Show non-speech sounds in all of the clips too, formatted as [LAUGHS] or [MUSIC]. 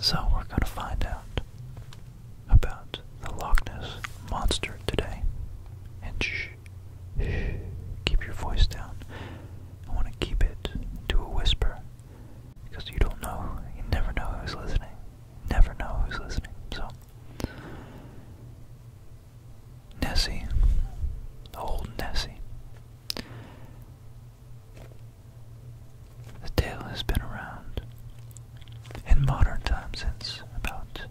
So we're going to find out about the Loch Ness Monster today. And shh, shh, keep your voice down. I want to keep it to a whisper because you don't know, you never know who's listening. Never know who's listening. So, Nessie, old Nessie. The tale has been around in modern times since about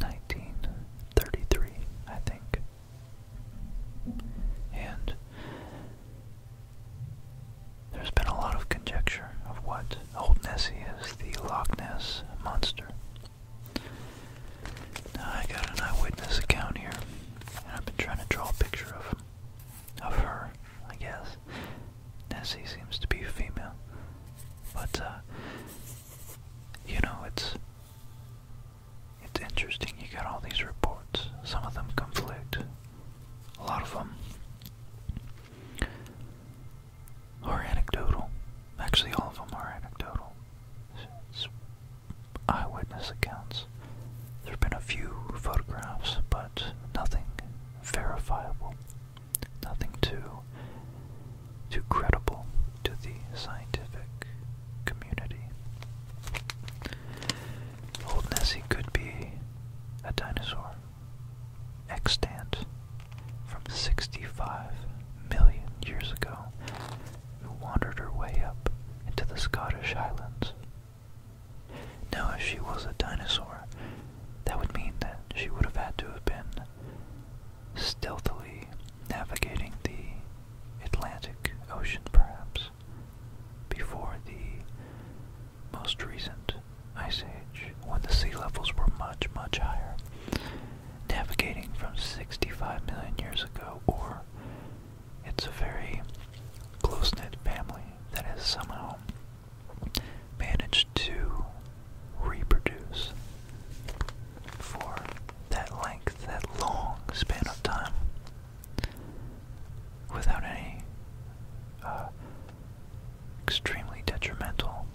1933, I think. And there's been a lot of conjecture of what Old Nessie is the Loch Ness monster. Now I got an eyewitness account here, and I've been trying to draw a picture of him of her, I guess. Nessie seems to be female. But, uh, you know, it's, it's interesting. You got all these reports. Some of them conflict. A lot of them are anecdotal. Actually, all of them are anecdotal. eyewitness accounts. There have been a few photographs, but nothing verifiable nothing too too credible to the scientific community. Old Nessie could be a dinosaur extant from 65 million years ago who wandered her way up into the Scottish Highlands. Now, if she was a dinosaur, that would mean that she would have had to have been stealthily navigating the Atlantic Ocean, perhaps, before the most recent ice age, when the sea levels were much, much higher. Navigating from 65 million years ago, or it's a very close knit family that has somehow managed to reproduce for that length, that long span of time, without any uh, extremely detrimental,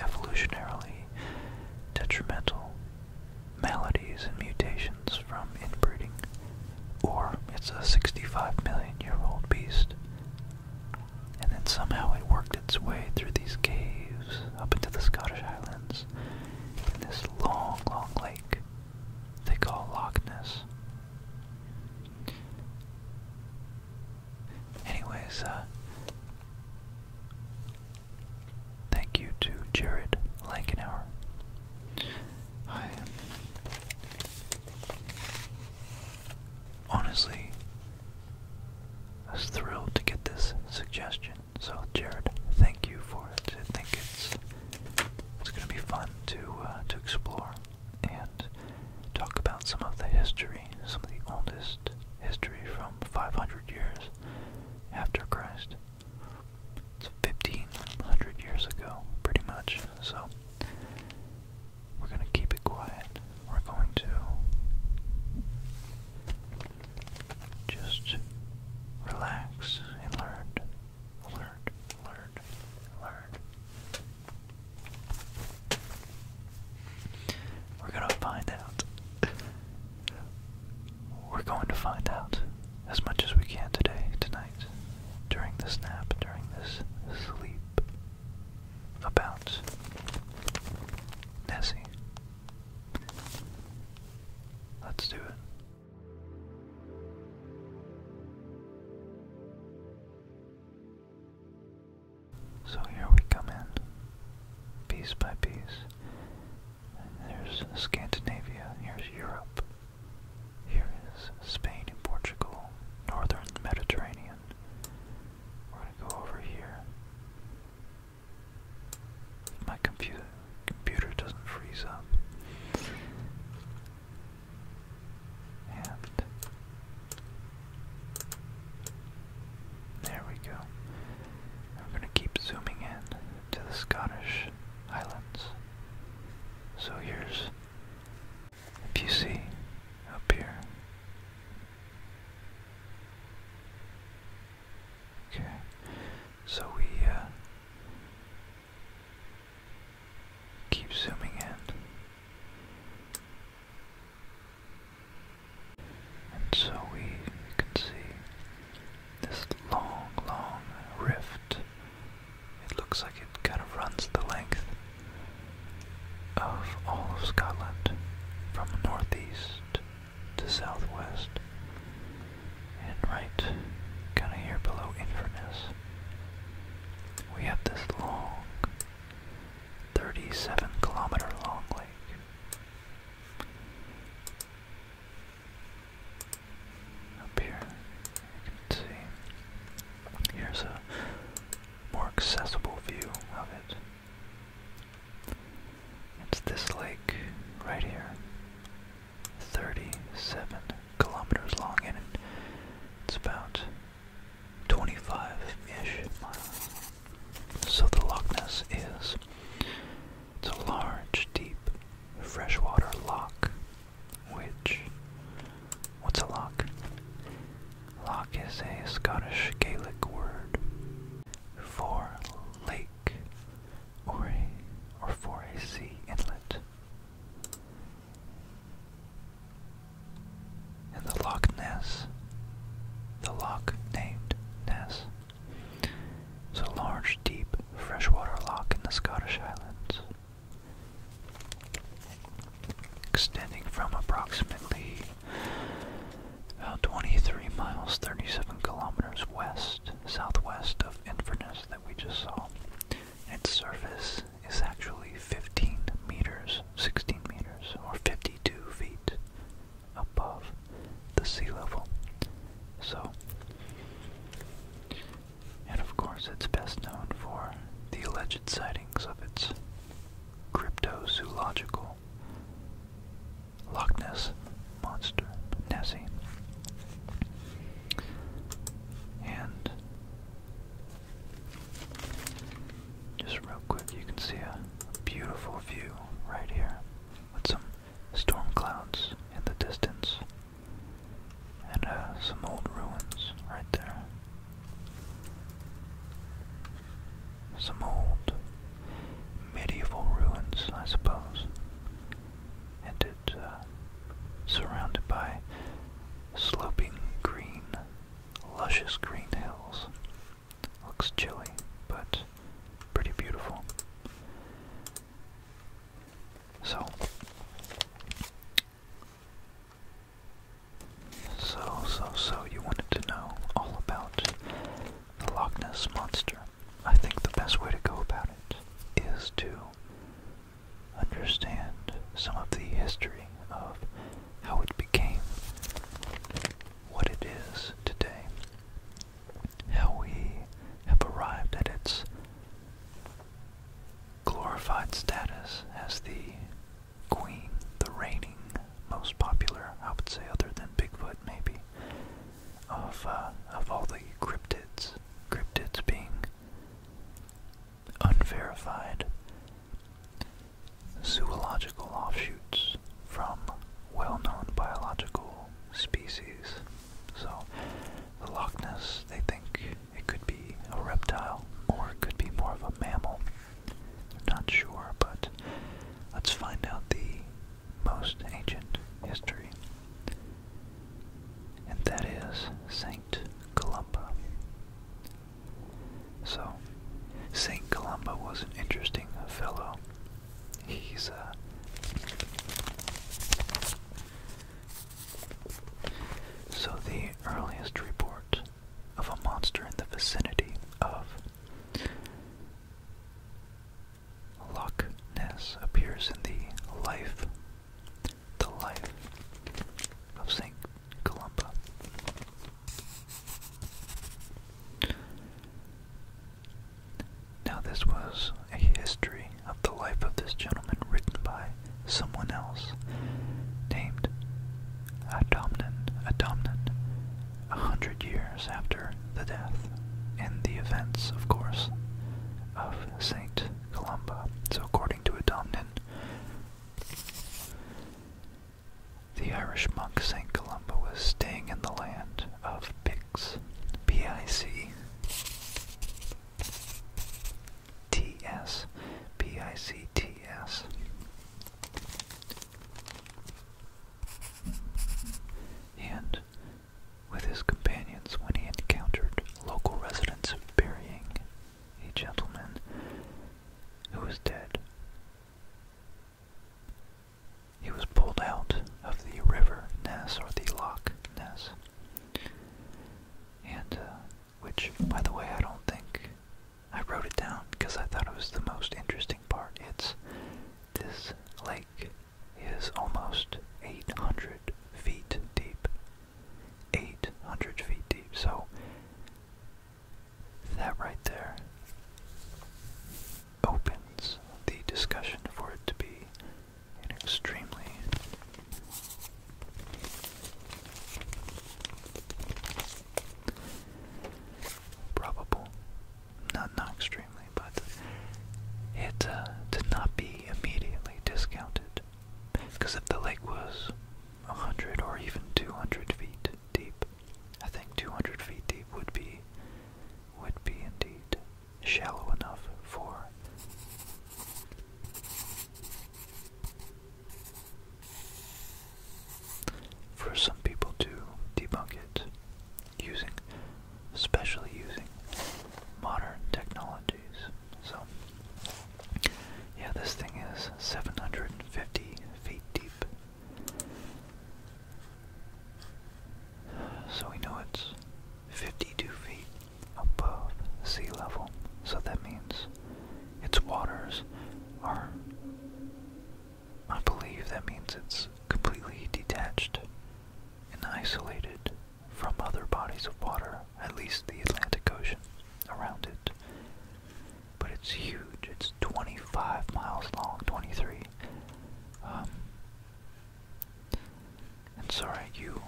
evolutionarily detrimental maladies and mutations from inbreeding, or it's a 65 million year old beast and then somehow it worked its way through these caves up into the Scottish Highlands in this long, long lake they call Loch Ness. Anyways, uh, thank you to Jared Lankenauer. I, honestly I was thrilled to get this suggestion. So Jared, thank you for it. I think it's it's gonna be fun to uh, to explore and talk about some of the history, some of the oldest history from 500 years after Christ. It's 1500 years ago, pretty much. So we're going to keep it quiet. We're going to just relax and learn. Learn, learn, learn. We're going to find out. We're going to find out as much as we can today, tonight, during this nap, during this sleep about Nessie. Let's do it. So here we come in, piece by piece. There's Scandinavia, here's Europe. Here is Spain and Portugal, northern Mediterranean. We're gonna go over here. My computer doesn't freeze up. And there we go. we're gonna keep zooming in to the Scottish Highlands. So here's if you see up here. Okay. So we uh, keep zooming in. And so we, we can see this long, long rift. It looks like it kind of runs the length of all of Scotland from northeast to southwest and right kind of here below Inverness. We have this long, 37 kilometer long lake. Up here, you can see here's a more accessible view of it. It's this lake right here, 37 kilometers long, and it's about 25-ish miles. So the Loch Ness is it's a large, deep freshwater lock, which What's a loch? Loch is a Scottish Gaelic word for lake or, a, or for a sea inlet. And the Loch Ness, the loch named Ness, is a large, deep, freshwater loch in the Scottish Highlands extending from approximately about uh, 23 miles, 37 kilometers west, southwest of Inverness that we just saw. Its surface is actually 15 meters, 16 meters, or 52 feet above the sea level. So, and of course, it's best known for the alleged sightings of its cryptozoological. Loch Ness Monster, Nessie. And just real quick, you can see a beautiful view right here with some storm clouds in the distance and uh, some old ruins right there. Some old medieval ruins, I suppose. And it's uh, surrounded by sloping green, luscious green hills. Looks chilly, but pretty beautiful. So, so, so, so, you wanted to know all about the Loch Ness Monster. I think the best way to go about it is to understand some of the history of how it became what it is today, how we have arrived at its glorified status as the Queen, the reigning most popular, I would say, other than Bigfoot, maybe, of uh, of all the cryptids. Cryptids being unverified zoological offshoots from well-known biological species. So, the Loch Ness, they think it could be a reptile, or it could be more of a mammal. Not sure, but let's find out the most ancient history. And that is Saint Columba. So, Saint Columba was an interesting fellow. He's a. Uh, so, the earliest report of a monster in the vicinity of. Loch Ness appears in the life, the life of St. Columba. Now this was a history of the life of this gentleman written by someone else named Adomnan, Adomnan, a hundred years after the death, and the events, of course, of Saint Columba. So according to Adomnan, the Irish monk Saint Columba was staying in the land of Picts, B-I-C, T-S, B-I-C-T-S, and with his companions, when he encountered local residents burying a gentleman who was dead, he was pulled out of the river Ness or the Loch Ness, and uh, which, by the way, I don't think I wrote it down because I thought it was the most interesting part. It's this lake is almost 800 feet deep. 800 feet deep. So that right there opens the discussion for it to be an extremely probable. Not not extremely, but it uh, did not be immediately discounted. Because if the lake was 100 or even 200 feet deep, I think 200 feet deep would be would be indeed shallow enough for for some people to debunk it using, especially using modern technologies. So, yeah, this thing is 750 feet deep. So we know it's 52 feet above sea level. So that means its waters are I believe that means it's completely detached and isolated from other bodies of water, at least the Atlantic Ocean around it. But it's huge. It's 25 miles long, 23. Um, and sorry, you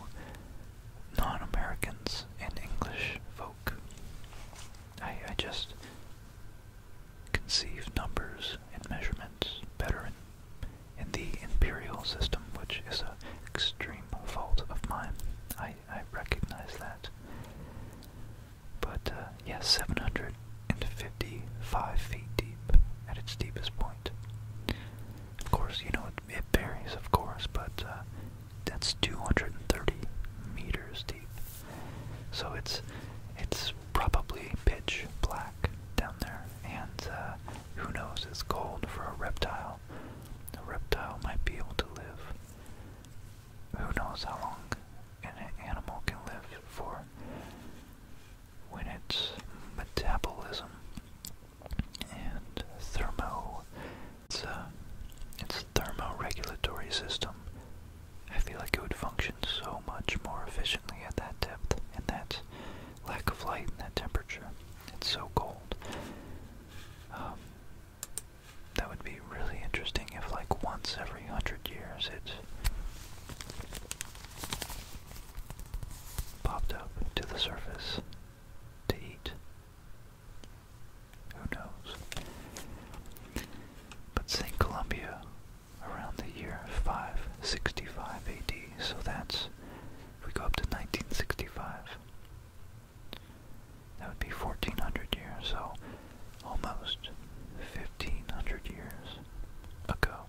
non-Americans and English folk. I, I just conceive numbers and measurements better in, the imperial system, which is an extreme fault of mine. I, recognize that. But, uh, yeah, 755 feet deep at its deepest point. Of course, you know, it, varies, of course, but uh, that's 230 meters deep. So it's it's probably pitch black down there, and uh, who knows? It's gold for a reptile. A reptile might be able to live. Who knows how long an animal can live for? When its metabolism and thermo, it's, uh, its thermoregulatory system I feel like it would function so much more efficiently at that depth and that lack of light and that temperature. It's so cold. Um, that would be really interesting if, like, once every hundred years it popped up to the surface to eat. Who knows? But St. Columbia around the year 565 AD, so that's, if we go up to 1965, that would be 1400 years, so almost 1500 years ago,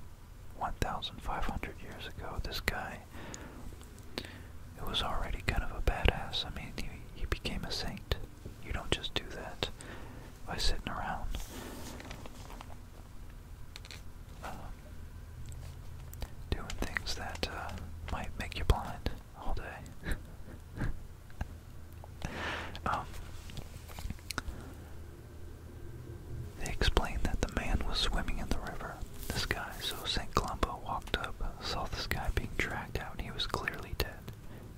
1500 years ago, this guy, was already kind of a badass, I mean, he, he became a saint. You don't just do that by sitting around. Um, doing things that uh, might make you blind all day. [LAUGHS] Um, they explained that the man was swimming in the river, this guy, so St. Columba walked up, saw this guy being dragged out, and he was clearly dead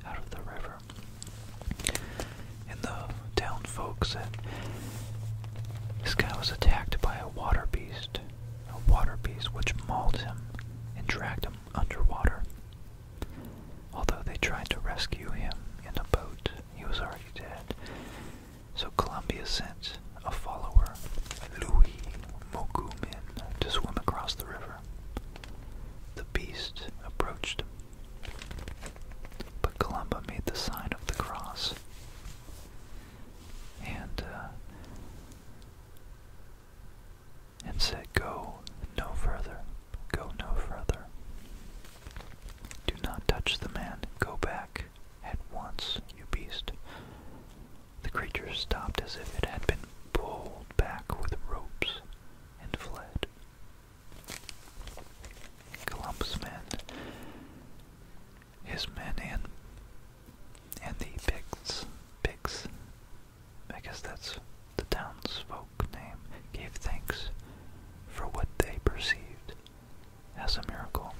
out of the river. And the town folks said this guy was attacked by a water beast, a water beast which mauled him and dragged him underwater. Although they tried to rescue him in a boat, he was already dead. So Columbia sent a follower, Louis Mokumin, to swim across the river the beast approached him. But Columba made the sign of the cross. And, uh, and said, Go no further, go no further. Do not touch the man, go back at once, you beast. The creature stopped as if it had been pulled back with ropes, and fled. Columbus' men, his men, and and the Picts, Picts, I guess that's the townsfolk name, gave thanks for what they perceived as a miracle.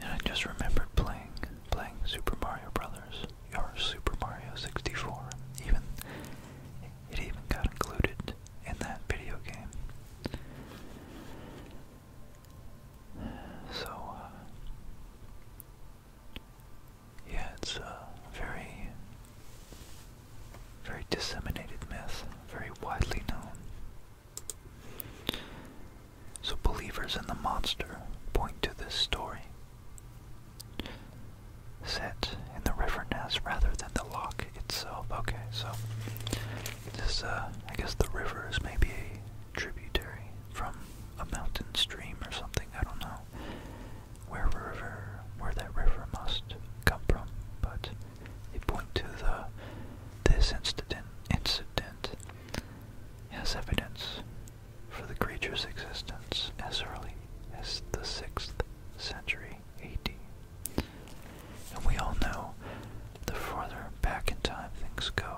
And I just remembered playing playing Super Mario Brothers your Super Mario 64. Even it even got included in that video game. So uh, yeah, it's a very, very disseminated myth, very widely known. So believers in the monster point to this story set in the river nest rather than the lock itself. Okay, so this, uh, I guess the river is maybe a tributary from a mountain stream or something. I don't know where river, where that river must come from, but they point to the this incident incident as evidence for the creature's existence as early as the 6th century AD. And we all know the further back in time things go,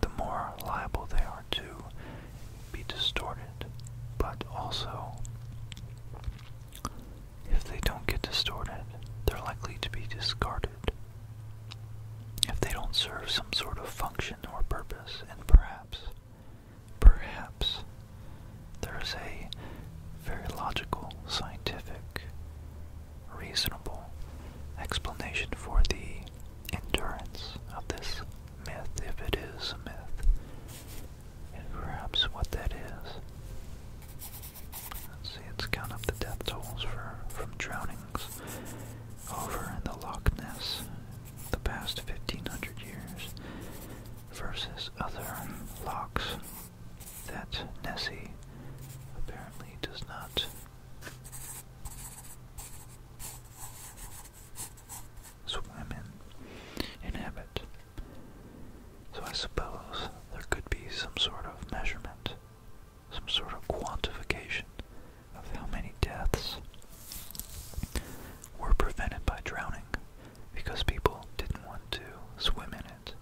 the more liable they are to be distorted, but also, if they don't get distorted, they're likely to be discarded if they don't serve some sort of function or purpose, and perhaps Perhaps there is a very logical, scientific, reasonable explanation for the endurance of this myth, if it is a myth, and perhaps what that is. Let's see, let's count up the death tolls for, from drownings over in the Loch Ness the past 1500 years versus other locks that Nessie apparently does not. Swim in, inhabit. So I suppose there could be some sort of measurement, some sort of quantification of how many deaths were prevented by drowning because people didn't want to swim in it.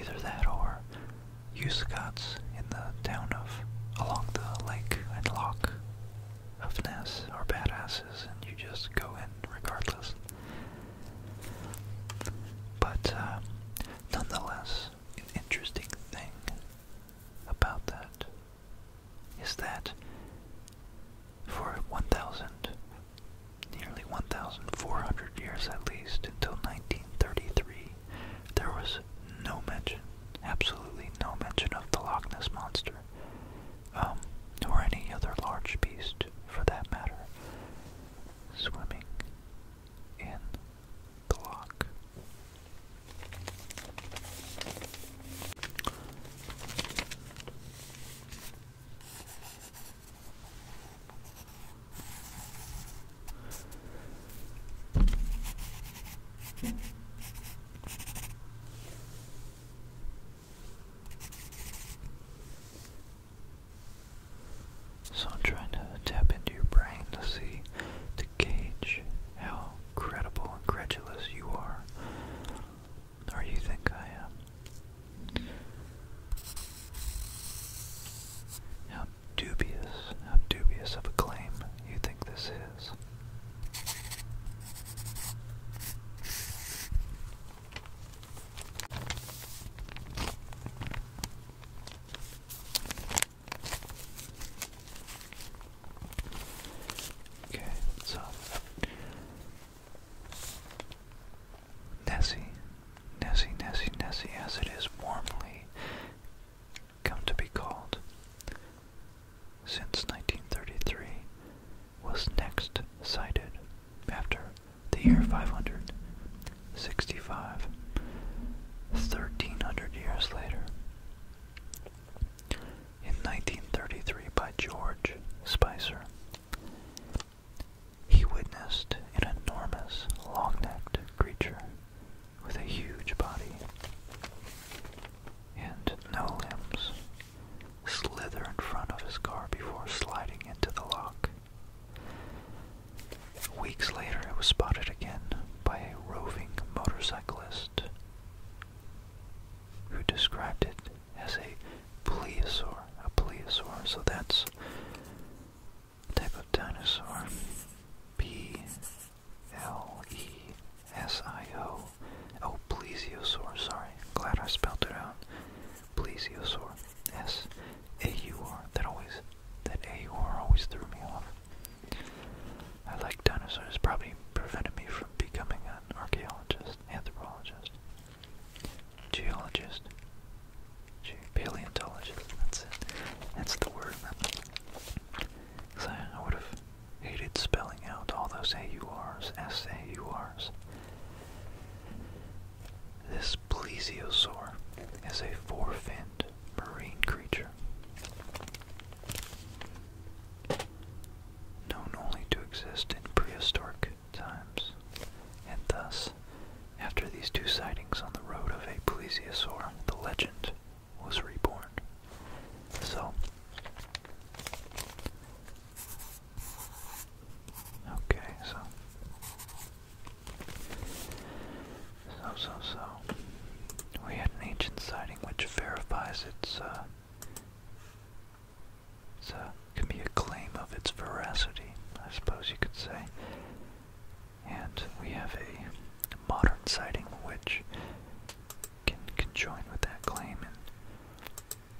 Either that or you Uscots in the town of along the lake and lock of Ness are badasses and you just go in regardless. But uh, nonetheless, an interesting thing about that is that for 1,000, nearly 1,400 years at least, until 1933, there was no mention, absolutely no mention of the Loch Ness Monster, um, or any other large beast for that matter, swimming in the loch. So I'm trying to tap into your brain to see to how credible and credulous you are, or you think I am. How dubious, how dubious of a claim you think this is. Okay, so Nessie, Nessie, Nessie, Nessie, as it is warmly come to be called since 1933, was next sighted after the year 565, 1300 years later in 1933 by George Spicer. He witnessed an enormous long-necked creature with a huge body and no limbs slither in front of his car before sliding into the lock. Weeks later, it was spotted again by a roving motorcyclist who described it as a plesiosaur. A plesiosaur, so that's type of dinosaur. P L E S I O. Oh, plesiosaur, sorry. Glad I spelled it out. Plesiosaur. S A U R. That always that A U R always threw me off. I like dinosaurs, probably prevented me from becoming an archaeologist, anthropologist, geologist, ge paleontologist, that's it. That's the word. Because I, would have hated spelling out all those a u r s, s a u r s. This plesiosaur is a four-finned marine creature Known only to exist in prehistoric times, and thus, after these two sightings on the road of a plesiosaur, the legend was reborn. So, okay, so, so, so, we had an ancient sighting which verifies its uh, so, it can be a claim of its veracity, I suppose you could say. And we have a modern sighting which can conjoin with that claim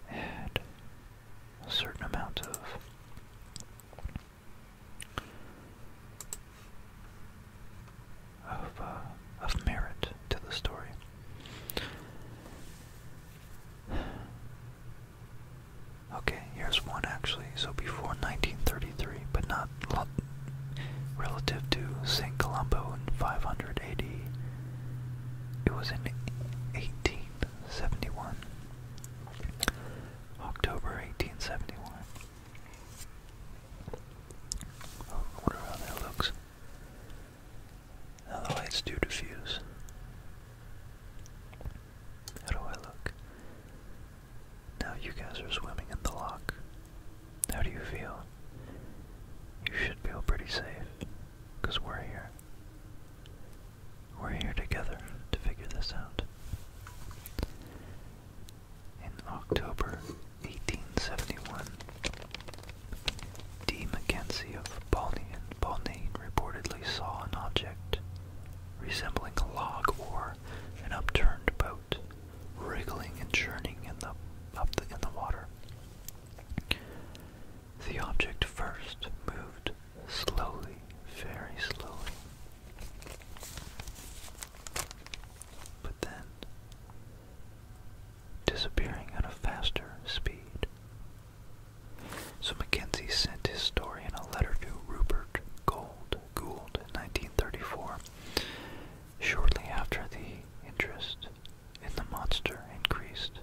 and add a certain amount of of, uh, of merit to the story. Okay, here's one actually. So before 1933, but not relative to St. Columbo in 500 AD, it was in 1871. October 1871. wonder how that looks. Now the lights do diffuse. How do I look? Now you guys are swimming in the lock. How do you feel? You should feel pretty safe, because we're here. We're here together to figure this out. In October 1871. D. Mackenzie of Balnain, Balnain reportedly saw an object resembling a log or an upturned boat wriggling and churning in the, up in the water. The object first moved slowly, very slowly. But then disappearing at a faster speed. So Mackenzie sent his story in a letter to Rupert Gould, Gould in 1934. Shortly after the interest in the monster increased.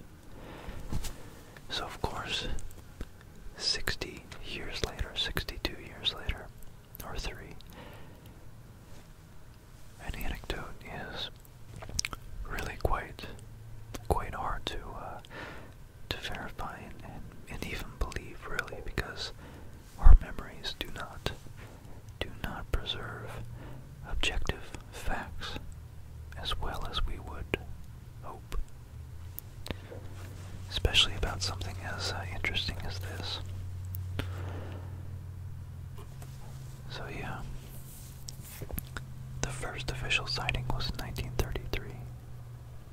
So of course, 60 years later, 62 years later, or three, an anecdote is really quite quite hard to uh, to verify and, and, even believe really because our memories do not do not preserve objective facts as well as we would hope especially about something as uh, interesting as this so yeah. The first official sighting was in 1933.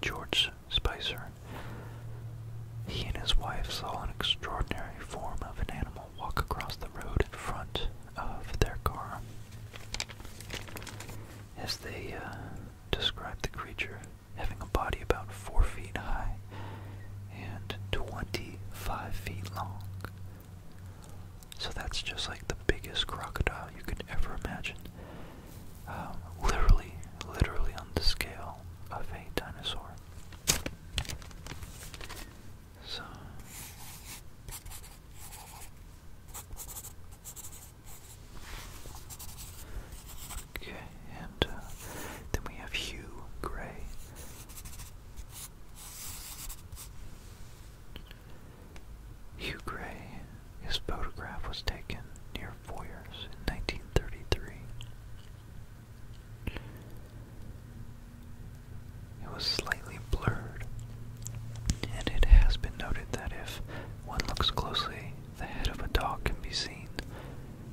George Spicer. He and his wife saw an extraordinary form of an animal walk across the road in front of their car. As they uh, described the creature, having a body about four feet high and 25 feet long, so that's just like the biggest crocodile you could ever imagine. Um, literally, literally on the scale of a dinosaur. So. Okay, and uh, then we have Hugh Gray. Hugh Gray, his photograph was taken near Foyers in 1933. It was slightly blurred, and it has been noted that if one looks closely, the head of a dog can be seen.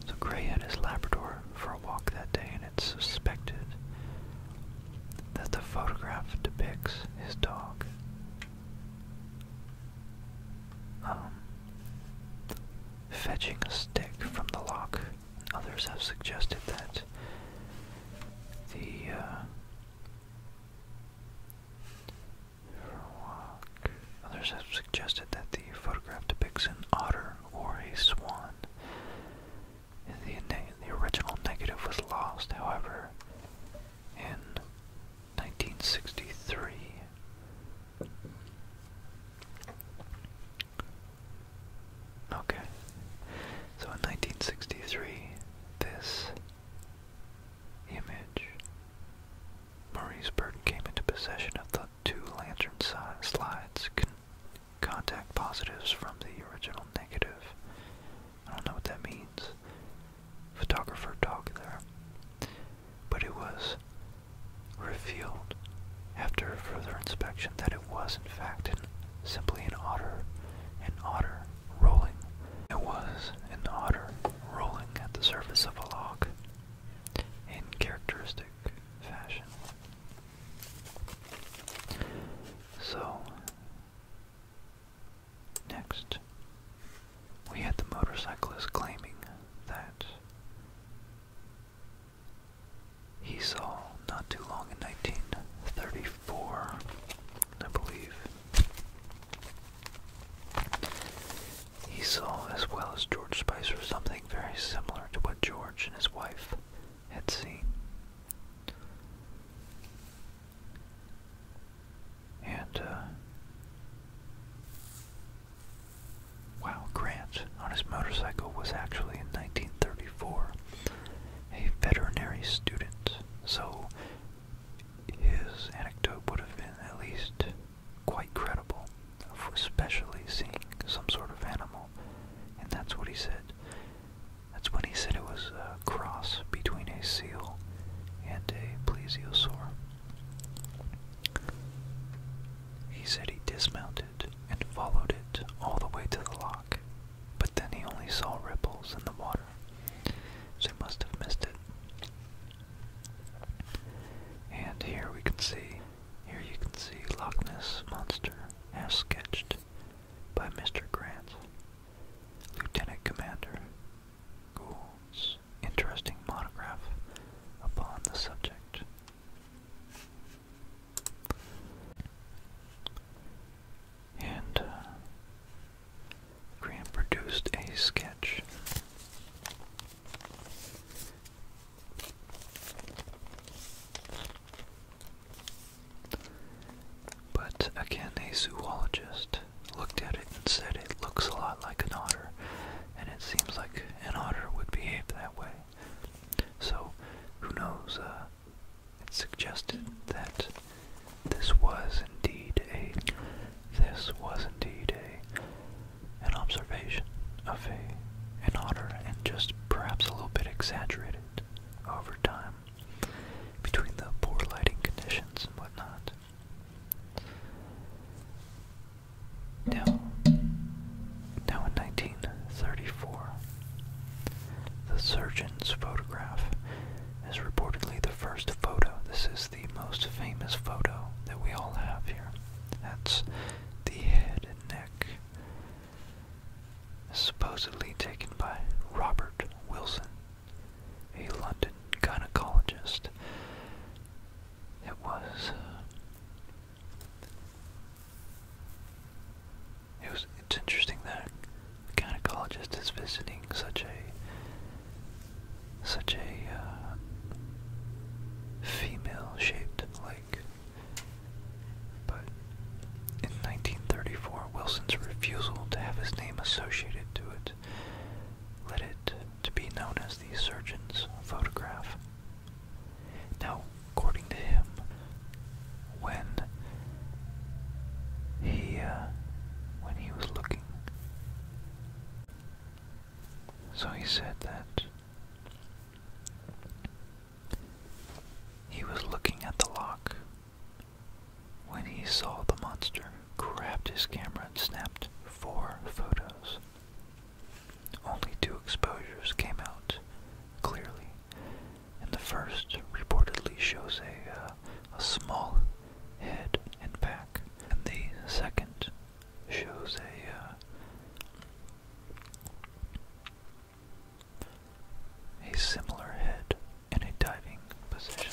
So Gray had his Labrador for a walk that day suspected that the photograph depicts his dog. Um, fetching a stick from the lock. Others have suggested that the uh, Others have suggested that the photograph depicts an otter or a swan. The, original negative was lost, however, in 1963. Okay, so in 1963, this image, Maurice Burton came into possession of the two lantern si slides contact positives from the original negative. I don't know what that means. Photographer talk there. But it was revealed after further inspection that it was in fact simply an otter, an otter rolling. It was an otter rolling at the surface of a log in characteristic fashion. So, next, we had the motorcyclist claiming that he saw not too long in 1934, I believe. He saw, as well as George Spicer, something very similar to what George and his wife had seen. And, uh, wow, Grant on his motorcycle was actually in 1934 a veterinary student, so his anecdote would have been at least quite credible, for especially seeing some sort of animal. And that's what he said. That's when he said it was a cross between a seal and a plesiosaur. He said he dismounted and followed it all the way to the lock, but then he only saw ripples in the water, so he must have missed it. And here we can see, here you can see Loch Ness Monster as sketched by Mr. Grant. Lieutenant Commander Gould's interesting monograph upon the subject. And uh, Grant produced a sketch. But again, a zoologist looked at it and said it looks a lot like an otter, and it seems like an otter would behave that way. So, who knows? Uh, it suggested that this was indeed a this was indeed a an observation of a an otter, and just perhaps a little bit exaggerated over time between the poor lighting conditions and whatnot. Now, now in 1934, the surgeon's photograph is reportedly the first photo. This is the most famous photo that we all have here. That's the head and neck supposedly taken by Robert Wilson, a London gynecologist. It was. Uh, it was. It's interesting that a gynecologist is visiting such a such a uh, female-shaped like but in 1934, Wilson's refusal to have his name associated to it led it to be known as the surgeon's photograph. Now, according to him, when he uh, when he was looking, so he said that he was looking at the lock when he saw the monster, grabbed his camera, and snapped four photos. Only two exposures came out clearly, and the first reportedly shows a, uh, a small head and back, and the second shows a uh, a similar head in a diving position.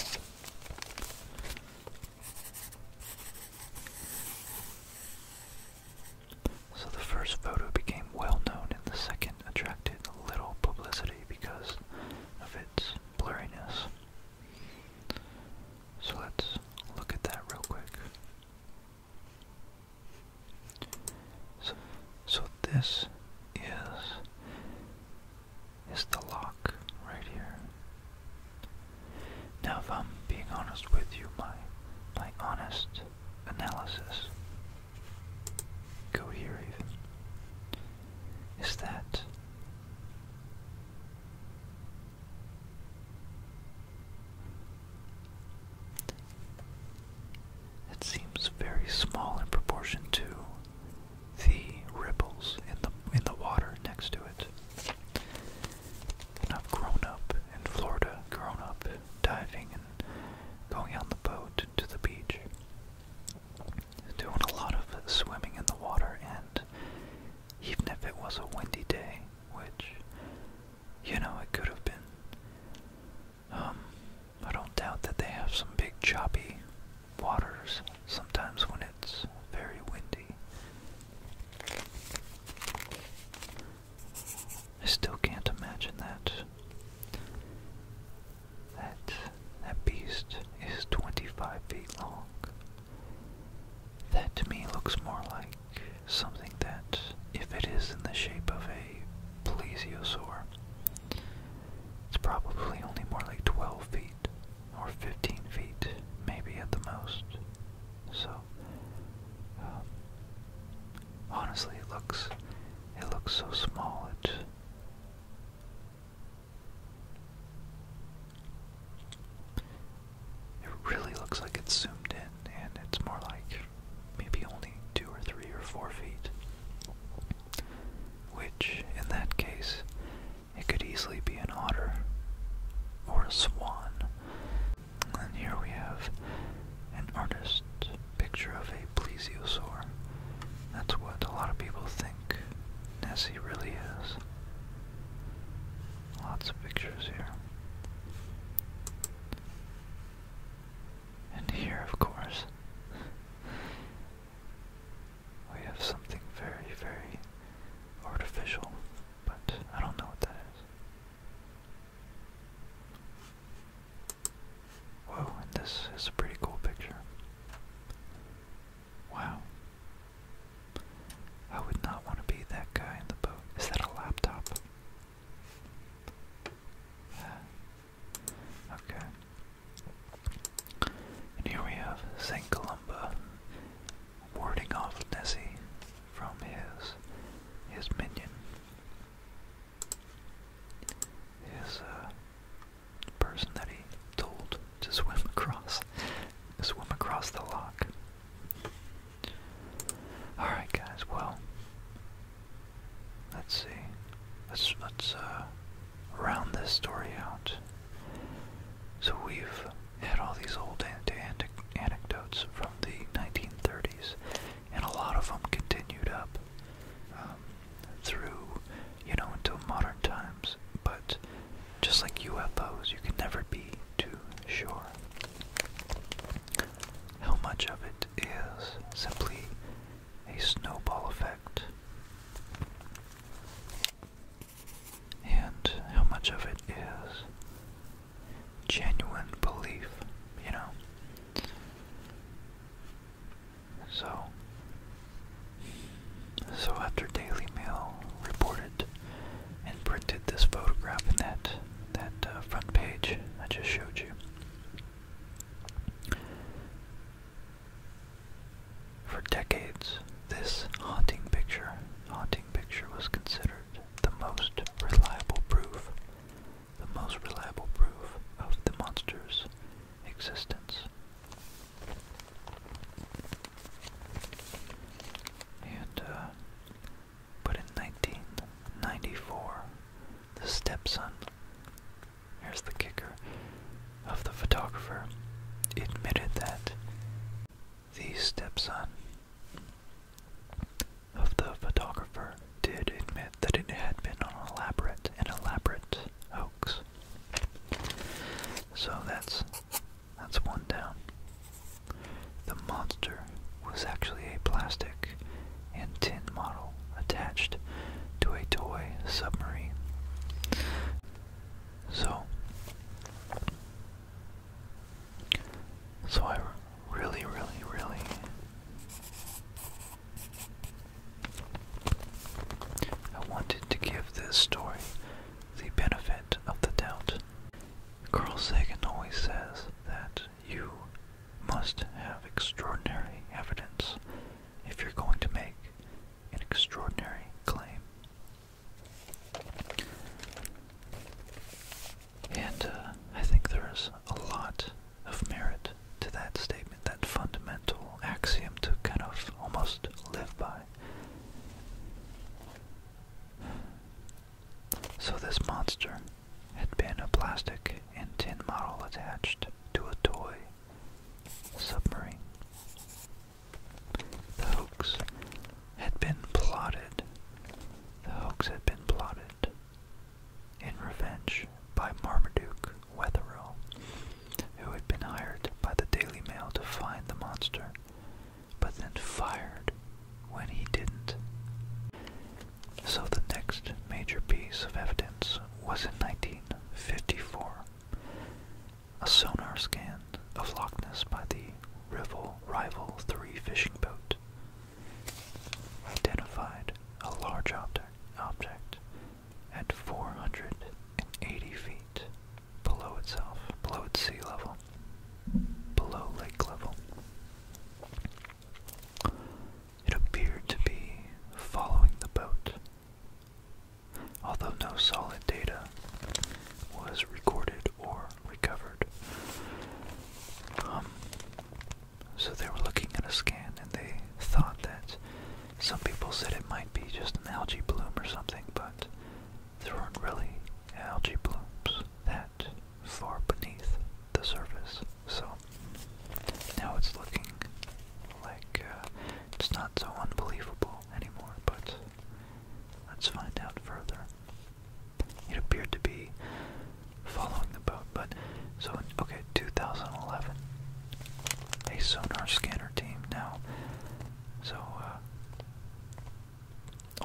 So the first photo became well known and the second attracted little publicity because of its blurriness. So let's look at that real quick. So, so this is is the lock right here. Now, if I'm being honest with you, my my honest analysis, go here even, is that. It seems very small in proportion to the ripples in the in the water next to it. And I've grown up in Florida, grown up diving and going on the boat to the beach. Doing a lot of swimming in the water, and even if it was a windy day, which, you know, it could have been, um, I don't doubt that they have some big choppy waters sometimes when it's very windy. I still can't imagine that. That that beast is 25 feet long. That to me looks more like something that, if it is in the shape of a plesiosaur, it's probably only more like 12 feet or 15 feet, maybe at the most. So, um, honestly, it looks it looks so small. It it really looks like it's zoomed in, and it's more like maybe only two or three or four feet. Which, in that case, it could easily be an otter or a swan. And here we have an artist picture of a plesiosaur. That's what a lot of people think Nessie really is. Lots of pictures here. And here, of course, we have something very, very artificial, but I don't know what that is. Whoa, and this is a pretty cool picture. Wow. I would not want to be that guy in the boat. Is that a laptop? Uh, Okay. And here we have St. Columba warding off Nessie from his his minion. His uh, person that he told to swim across [LAUGHS] swim across the lock. Alright guys, well Let's see. Let's let's uh, round this story out. So we've had all these old anti anecdotes from the 1930s, and a lot of them continued up um, through, you know, until modern times. But just like UFOs, you can never be too sure. How much of it is simply a snowball effect. And how much of it is genuine belief, you know? So, so after Daily Mail reported and printed this photograph in that that uh, front page I just showed you, for decades, this haunting picture, haunting picture was considered the most reliable proof, the most reliable proof of the monster's existence. And, uh, but in 1994, the stepson here's the kicker of the photographer, admitted that the stepson of the photographer did admit that it had been an elaborate, an elaborate hoax. So that's that's one down. The monster was actually a plastic and tin model attached to a toy submarine. So, so I really, really, really I wanted to give this story the benefit of the doubt. Carl Sagan always says that you must have extraordinary evidence if you're going to make an extraordinary claim. And uh, I think there's a lot of merit to that statement, that fundamental axiom to kind of almost live by. So this monster had been a plastic and tin model attached to a toy submarine. The hoax had been plotted. The hoax had been plotted in revenge by Marmaduke Wetherill, who had been hired by the Daily Mail to find the monster, but then fired when he didn't. So the next major piece of evidence was in 19. A sonar scan of Loch Ness by the Rival Rival 3 fishing boat identified a large object, object at 480 feet below itself, below its sea level, below lake level. It appeared to be following the boat although no solid data was recorded or recovered. Um, so they were looking at a scan and they thought that some people said it might be just an algae bloom or something, but there weren't really algae blooms that far beneath the surface. So now it's looking like uh, it's not so unbelievable anymore, but let's find out further. It appeared to be following the boat, but so in, okay, 2011, a sonar scanner team now. So uh,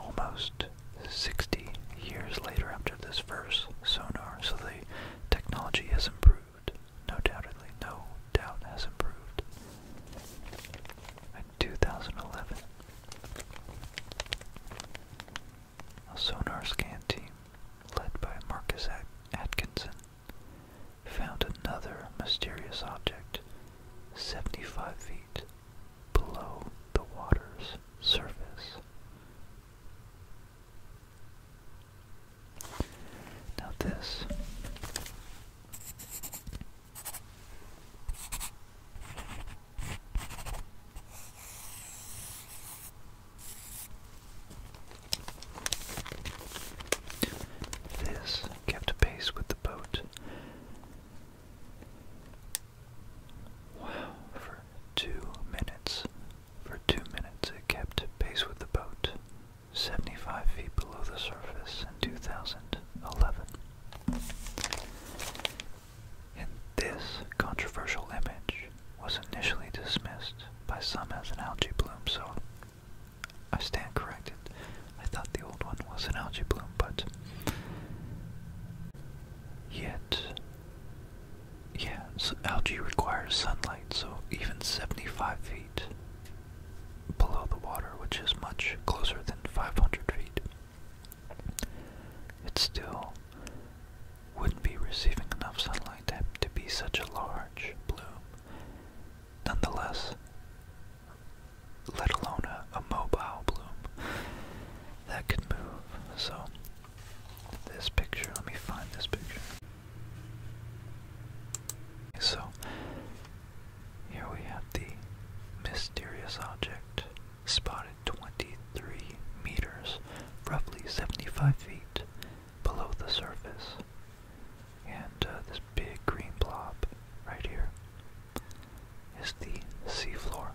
almost 60 years later after this first sonar, so the technology has improved. No doubtedly, no doubt has improved. In 2011, a sonar scan team led by Marcus Atkinson found another mysterious object 75 feet below the water's surface. Now this this kept pace with the boat. Wow, for two minutes for two minutes it kept pace with the boat, 75 feet below the surface in 2011. this controversial image was initially dismissed by some as an algae bloom, so I stand corrected. I thought the old one was an algae bloom, but yet yeah, so algae requires sunlight, so even 75 feet below the water, which is much closer than 500 feet, it still wouldn't be receiving enough sunlight to, be such a large bloom. Nonetheless, let alone a, a mobile bloom that could move. So, this picture, let me find this picture. So here we have the mysterious object spotted 23 meters, roughly 75 feet below the surface. And uh, this big green blob right here is the seafloor.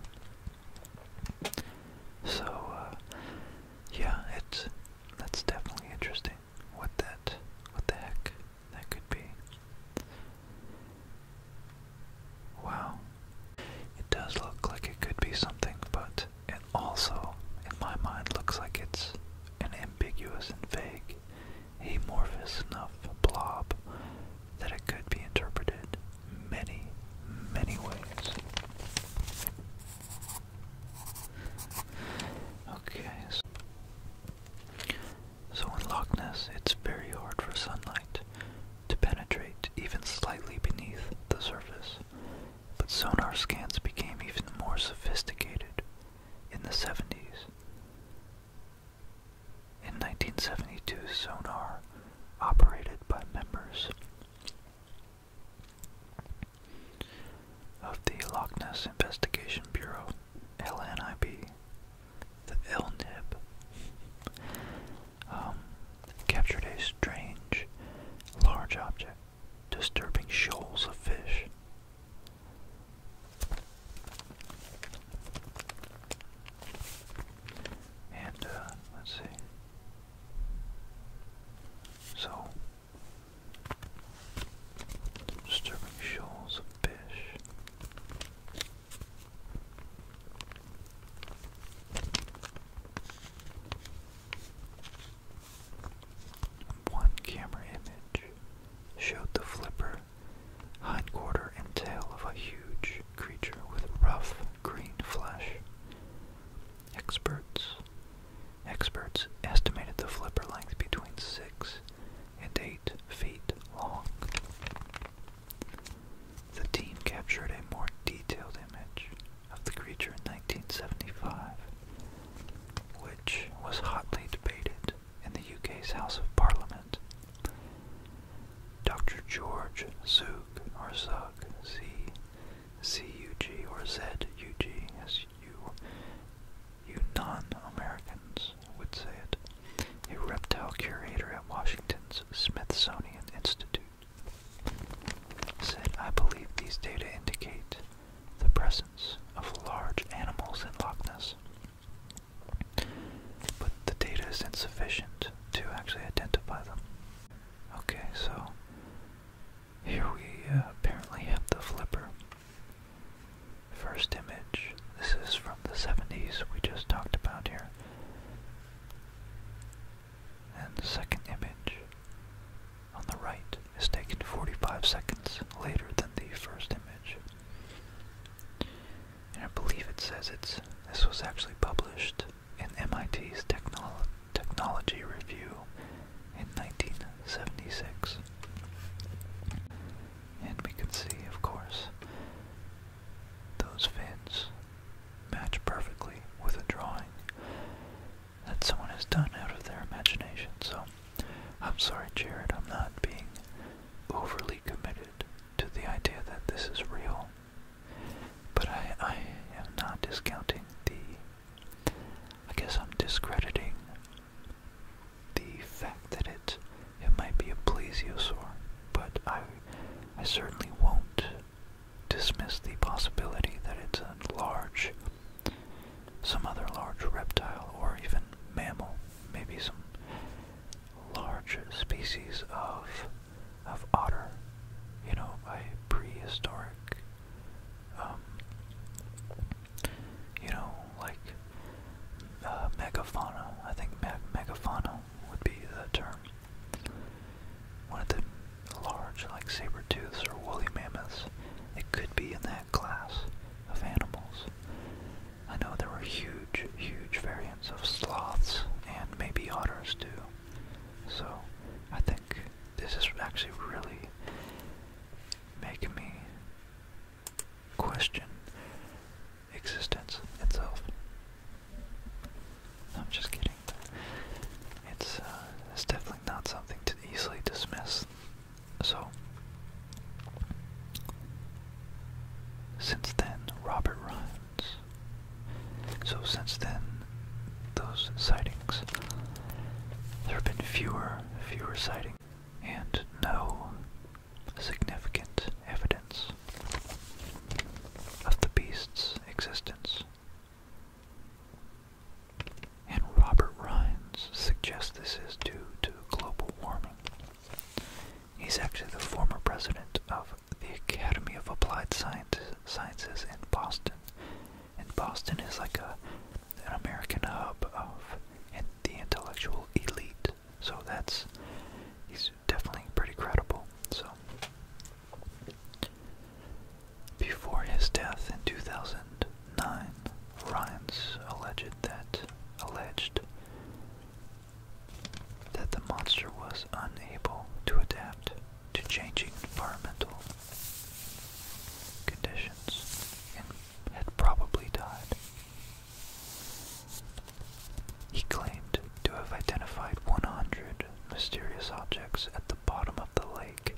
So, uh, yeah, it's that's definitely interesting what that what the heck that could be. Wow. It does look like it could be something, but it also, in my mind, looks like it's an ambiguous and vague, amorphous enough blob that it could be interpreted many, many ways. Okay, so, in Loch Ness, it's very hard for sunlight to penetrate even slightly beneath the surface, but sonar scans became even more sophisticated in the 70s. In 1972, sonar operated by members of the Loch Ness Investigation Bureau, LNIB, the LNIB, um, captured a strange, large object disturbing shoals of fish. And, uh, let's see. So, Disturbing shoals of fish. One camera image showed the flipper, hindquarter, and tail of a huge creature with rough green flesh. Experts Experts estimated the flipper length between 6 and 8 feet long. The team captured a more detailed image of the creature in 1975, which was hotly debated in the UK's House of Parliament. Dr. George Zook or Z CUG or ZUG, as you, you non-Americans would say it, a reptile curator at Washington's Smithsonian Institute, said, I believe these data indicate the presence of large animals in Loch Ness. But the data is insufficient to actually identify them. Okay, so here we uh, apparently have the flipper. First image, this is from the 70s we just talked about here. And the second image on the right is taken 45 seconds later than the first image. And I believe it says it's this was actually published in MIT's Technology Review in 1976. And we can see, of course, those fins match perfectly with a drawing that someone has done out of their imagination. So, I'm sorry, Jared, I'm not being overly committed to the idea that this is real. But I, am not discounting the I guess I'm discrediting the fact that it it might be a plesiosaur, but I I certainly won't dismiss the possibility that it's a large some other large reptile or even mammal, maybe some large species of of otter, you know, a prehistoric um, you know, like uh, megafauna. I think me megafauna would be the term. One of the large, like saber tooths or woolly mammoths. It could be in that class of animals. I know there were huge, huge variants of sloths and maybe otters too. So I think this is actually really making me question existence itself. I'm just kidding. It's uh, it's definitely not something to easily dismiss. So since then, Robert Rhymes. So since then, those sightings. There have been fewer, fewer sightings and no significant evidence of the beast's existence. And Robert Rhines suggests this is due to global warming. He's actually the former president of the Academy of Applied Sciences in Boston, and Boston is like a an American hub of the intellectual elite. So that's he's definitely pretty credible. So before his death in 2009, Ryan's alleged that alleged that the monster was unable to adapt to changing environmental conditions and had probably died. He claimed to have identified 100 mysterious objects at the bottom of the lake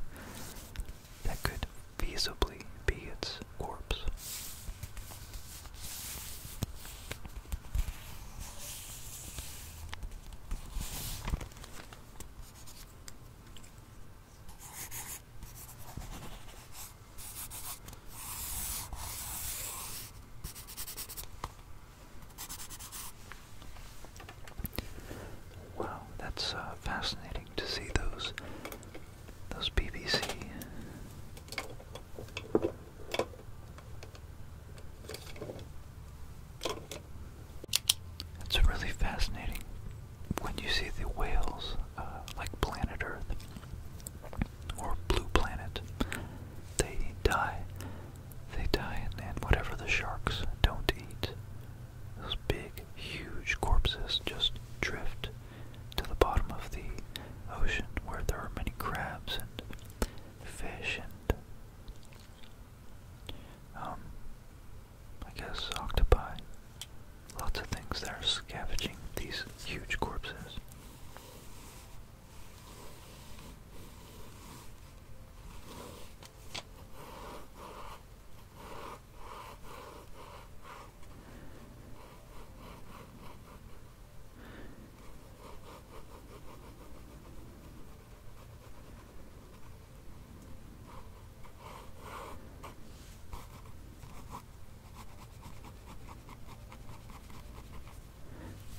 that could feasibly be its corpse. Wow, that's uh, fascinating to see those those BBC. That's really fascinating when you see the whales, uh, like Planet Earth or Blue Planet, they die. They die, and, and whatever the sharks don't eat, those big, huge corpses just drift to the bottom of the ocean where there are many crabs and fish and um, I guess octopi, lots of things that are scavenging these huge corpses.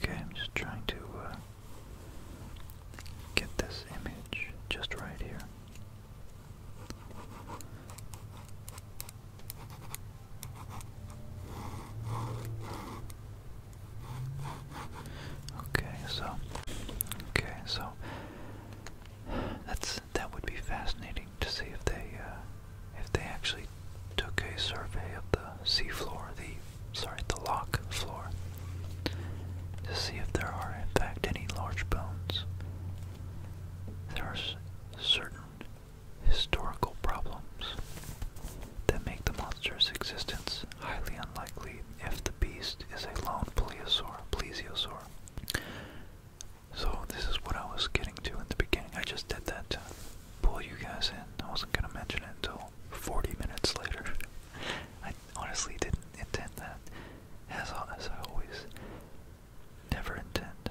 Okay, I'm just trying to uh, get this image just right here. Okay, so okay, so that's that would be fascinating to see if they uh, if they actually took a survey of the seafloor, the sorry, the lock floor, to see if there are in fact any large bones. There are certain historical problems that make the monster's existence highly unlikely if the beast is a lone plesiosaur. So this is what I was getting to in the beginning. I just did that to pull you guys in. I wasn't gonna mention it until 40 minutes later. I honestly didn't intend that, as, honest, I always never intend.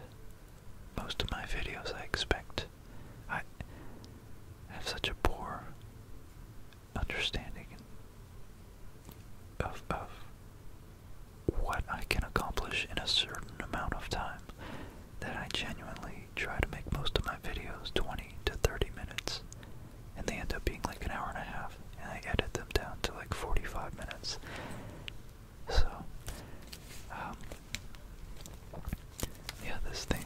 Most of my videos, I expect, I have such a poor understanding of of what I can accomplish in a certain amount of time that I genuinely try to make most of my videos 20 to 30 minutes and they end up being like an hour and a half and I edit them down to like 45 minutes. So, um, yeah, this thing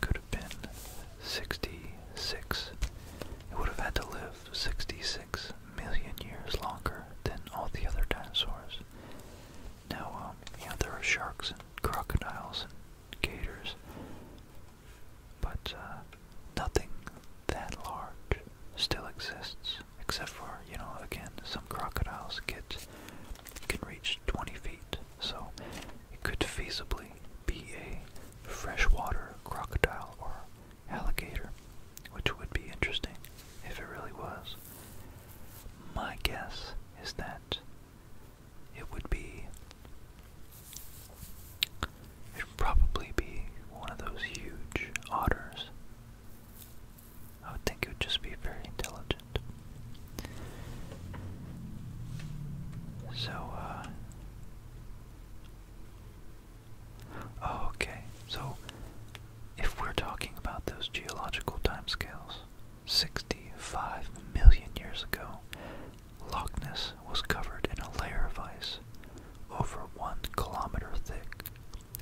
could have been 66. It would have had to live 66 Million years longer than all the other dinosaurs. Now, um, yeah, there are sharks and crocodiles and gators, but uh, nothing that large still exists, except for you know, again, some crocodiles get can reach 20 feet, so it could feasibly be a freshwater crocodile or alligator, which would be interesting if it really was. My guess is that it would be. It would probably be one of those huge otters. I would think it would just be very intelligent. So, uh, Oh, okay. So, if we're talking about those geological timescales, 65 million years ago, Loch Ness was covered in a layer of ice over one kilometer thick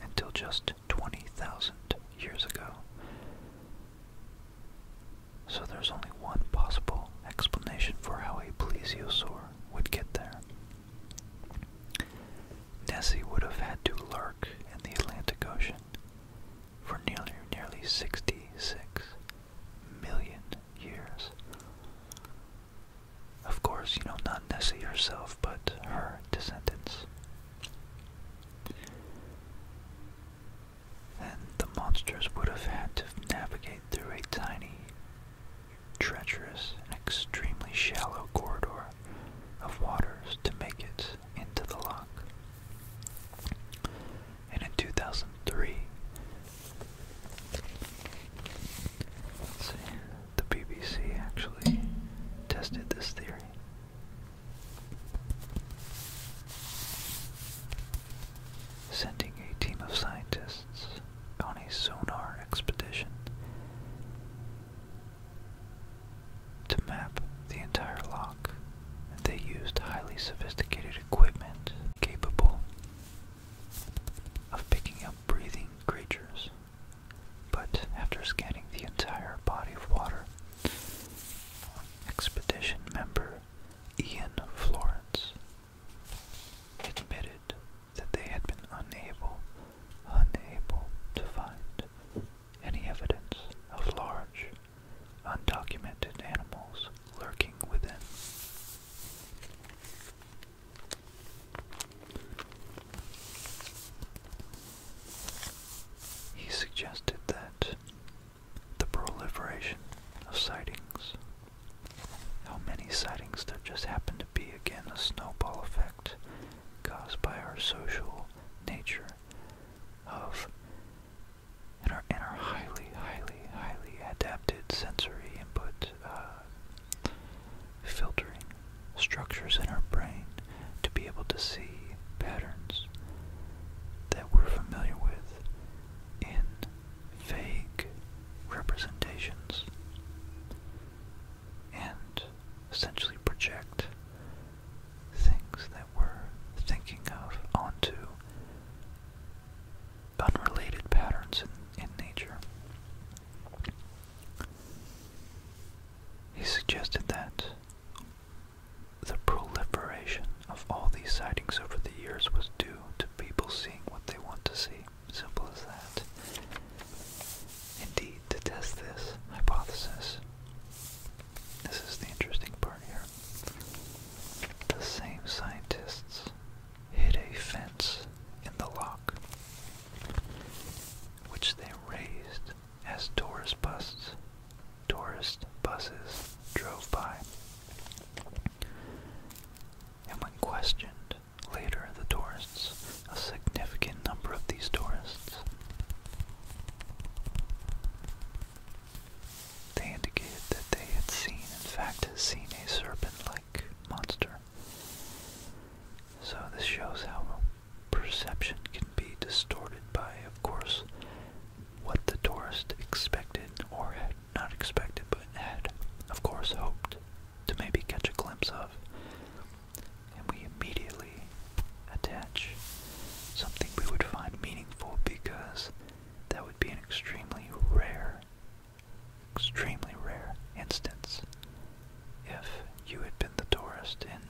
until just 20,000 years ago. So there's only one possible explanation for how a plesiosaur would get there. Nessie would have had to lurk in the Atlantic Ocean for nearly, nearly 66 million years. Of course, you know, not Nessie herself, but her descendants. And the monsters would have had to navigate through a tiny treacherous and extremely shallow corridor of waters to make it into the lock. And in 2003, the BBC actually tested this theory. Sending a team of scientists on a sonar expedition to map the entire lock. They used highly sophisticated equipment capable of picking up breathing creatures. But after scanning the entire body of water, expedition member Ian Florence admitted that they had been unable unable to find any evidence of large, undocumented animals lurking within. He suggested that the proliferation of sightings, how many sightings there just happened to be, again a snowball effect caused by our social nature of and our, and highly, highly, highly adapted sensory input uh, filtering structures in our brain to be able to see patterns that we're familiar with in vague representations and essentially project things that we're thinking of onto unrelated patterns in, nature. He suggested that the proliferation of all these sightings over the years was due to people seeing what they want to see. Simple as that. Indeed, to test this hypothesis, this is the interesting part here. The same scientists hid a fence in the lock, which they raised as tourist buses, tourist buses drove by. And when questioned later the tourists, a significant number of these tourists. They indicated that they had seen, in fact, seen a serpent-like monster. So this shows how perception can be distorted by, of course, what the tourist expected or had not expected, but had, of course, hoped to maybe catch a glimpse of. And we immediately attach something we would find meaningful because that would be an extremely rare, extremely rare instance if you had been the tourist in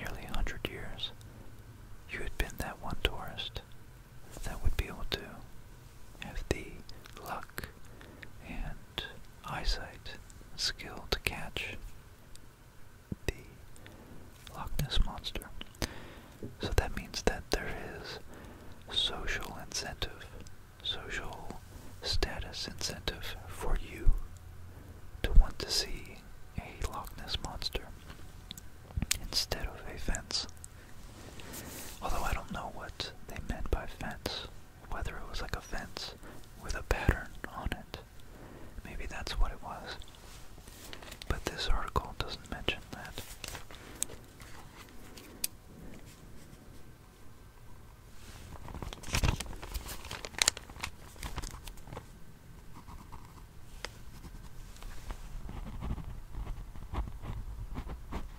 nearly a hundred years. You had been that one tourist that would be able to have the luck and eyesight skill to catch the Loch Ness Monster. So that means that there is social incentive, social status incentive for you to want to see a Loch Ness Monster instead of a fence. Although I don't know what they meant by fence whether it was like a fence with a pattern on it. Maybe that's what it was. But this article doesn't mention that.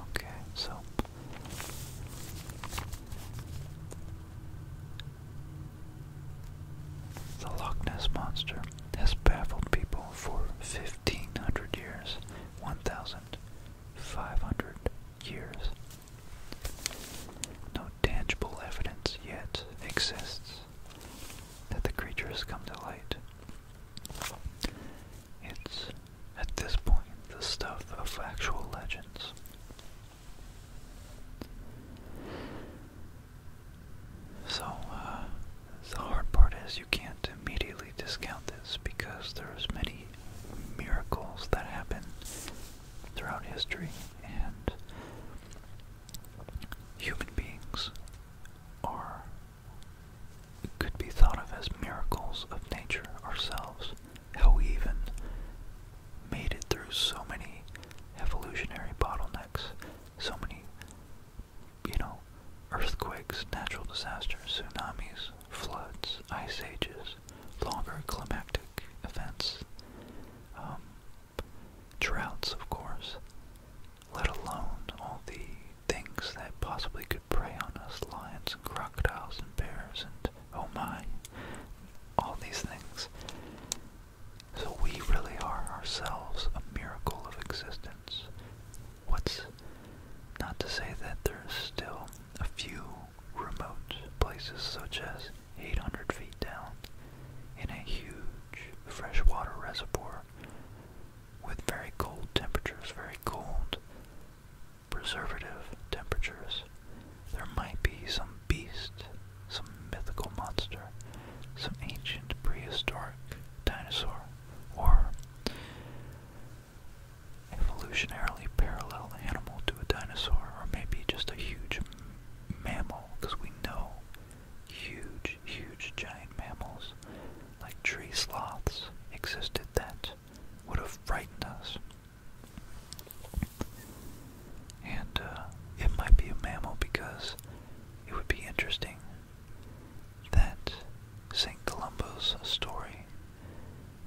Okay, so the Loch Ness Monster has baffled people for 1500 years, 1500 years, no tangible evidence yet exists that the creature has come to light. It's, at this point, the stuff of factual legends. So, uh, the hard part is you can't immediately discount this because there's many miracles that happen throughout history, and human beings are could be thought of as miracles of nature ourselves. How we even made it through so many evolutionary bottlenecks, so many, you know, earthquakes, natural disasters, tsunamis, floods, ice ages, longer climatic events, um, droughts, of course, let alone all the things that possibly could prey on us, lions and crocodiles and bears and oh my, all these things. So we really are ourselves a miracle of existence. What's not to say that there's still a few remote places such as 800 feet down in a huge freshwater reservoir with very cold temperatures, very cold preservative temperatures. There might be some beast, some mythical monster, some ancient prehistoric dinosaur, or evolutionarily parallel animal to a dinosaur, or maybe just a huge mammal, because we know huge, huge giant mammals like tree sloths existed that would have frightened us. And uh, it might be a mammal because it would be interesting that St. Columbo's story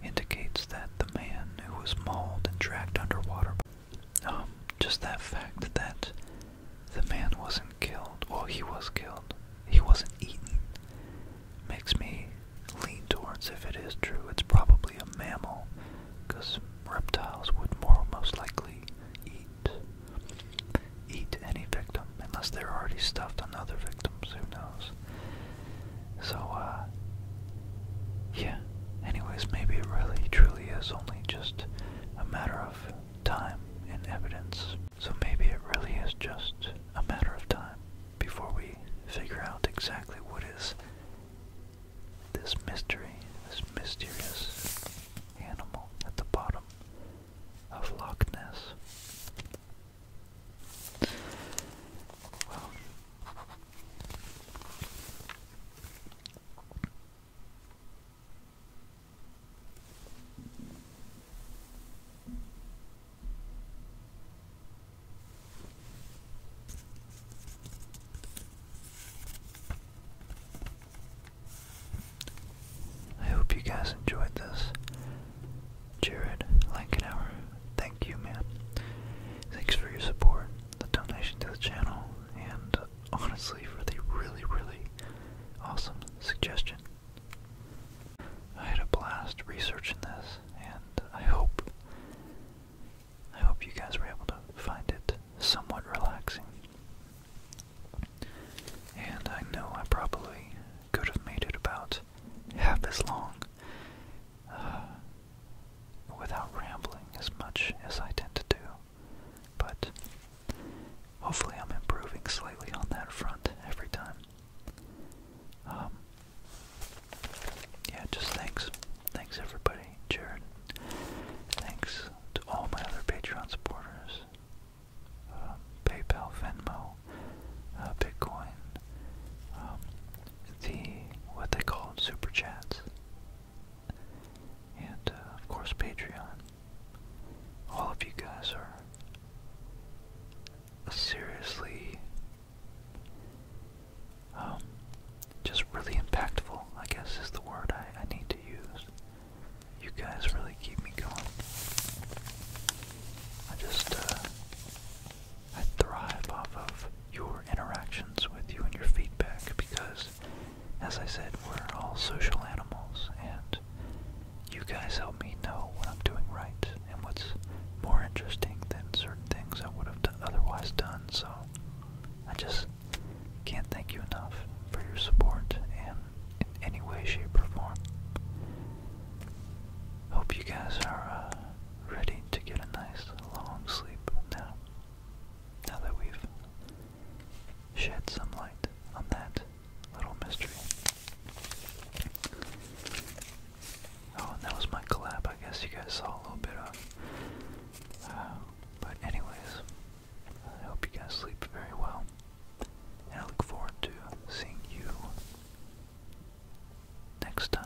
indicates that the man who was mauled and dragged underwater. Um, just that fact that the man wasn't killed, or he was killed, he wasn't eaten, makes me lean towards if it is true, it's probably a mammal, because reptiles would more most likely eat eat any victim, unless they're already stuffed on other victims, who knows. So, uh, yeah. Anyways, maybe it really truly is only just a matter of time and evidence. So maybe it really is just a matter of time before we figure out exactly what is this mystery, this mysterious animal at the bottom of Loch Ness. I hope you guys enjoyed this. Jared Lankenauer Thank you, man. Thanks for your support, the donation to the channel, and honestly for the really, really awesome suggestion. I had a blast researching this, and I hope I hope you guys were able to find it somewhat relaxing. And I know I probably could have made it about half as long [SIGHS] without rambling as much as I tend to do. But hopefully, I'm improving slightly on that front every time. Um, yeah, just thanks. Thanks, everybody. Jared. Thanks to all my other Patreon supporters um, PayPal, Venmo, uh, Bitcoin. Um, the what they call super chats, and uh, of course Patreon. All of you guys are seriously um, just really impactful. I guess is the word I, need to use. You guys really keep me going. I just uh, I thrive off of your interactions with you and your feedback because, as I said, we're all social animals and you guys help me know what I'm doing right and what's more interesting than certain things I would have otherwise done. So I just can't thank you enough for your support and in any way, shape, or form. Hope you guys are uh, ready to get a nice long sleep now. Now that we've shed some light on that little mystery. Oh, and that was my collab. I guess you guys saw a little bit of. Uh, but anyways, I hope you guys sleep very well, and I look forward to seeing you next time.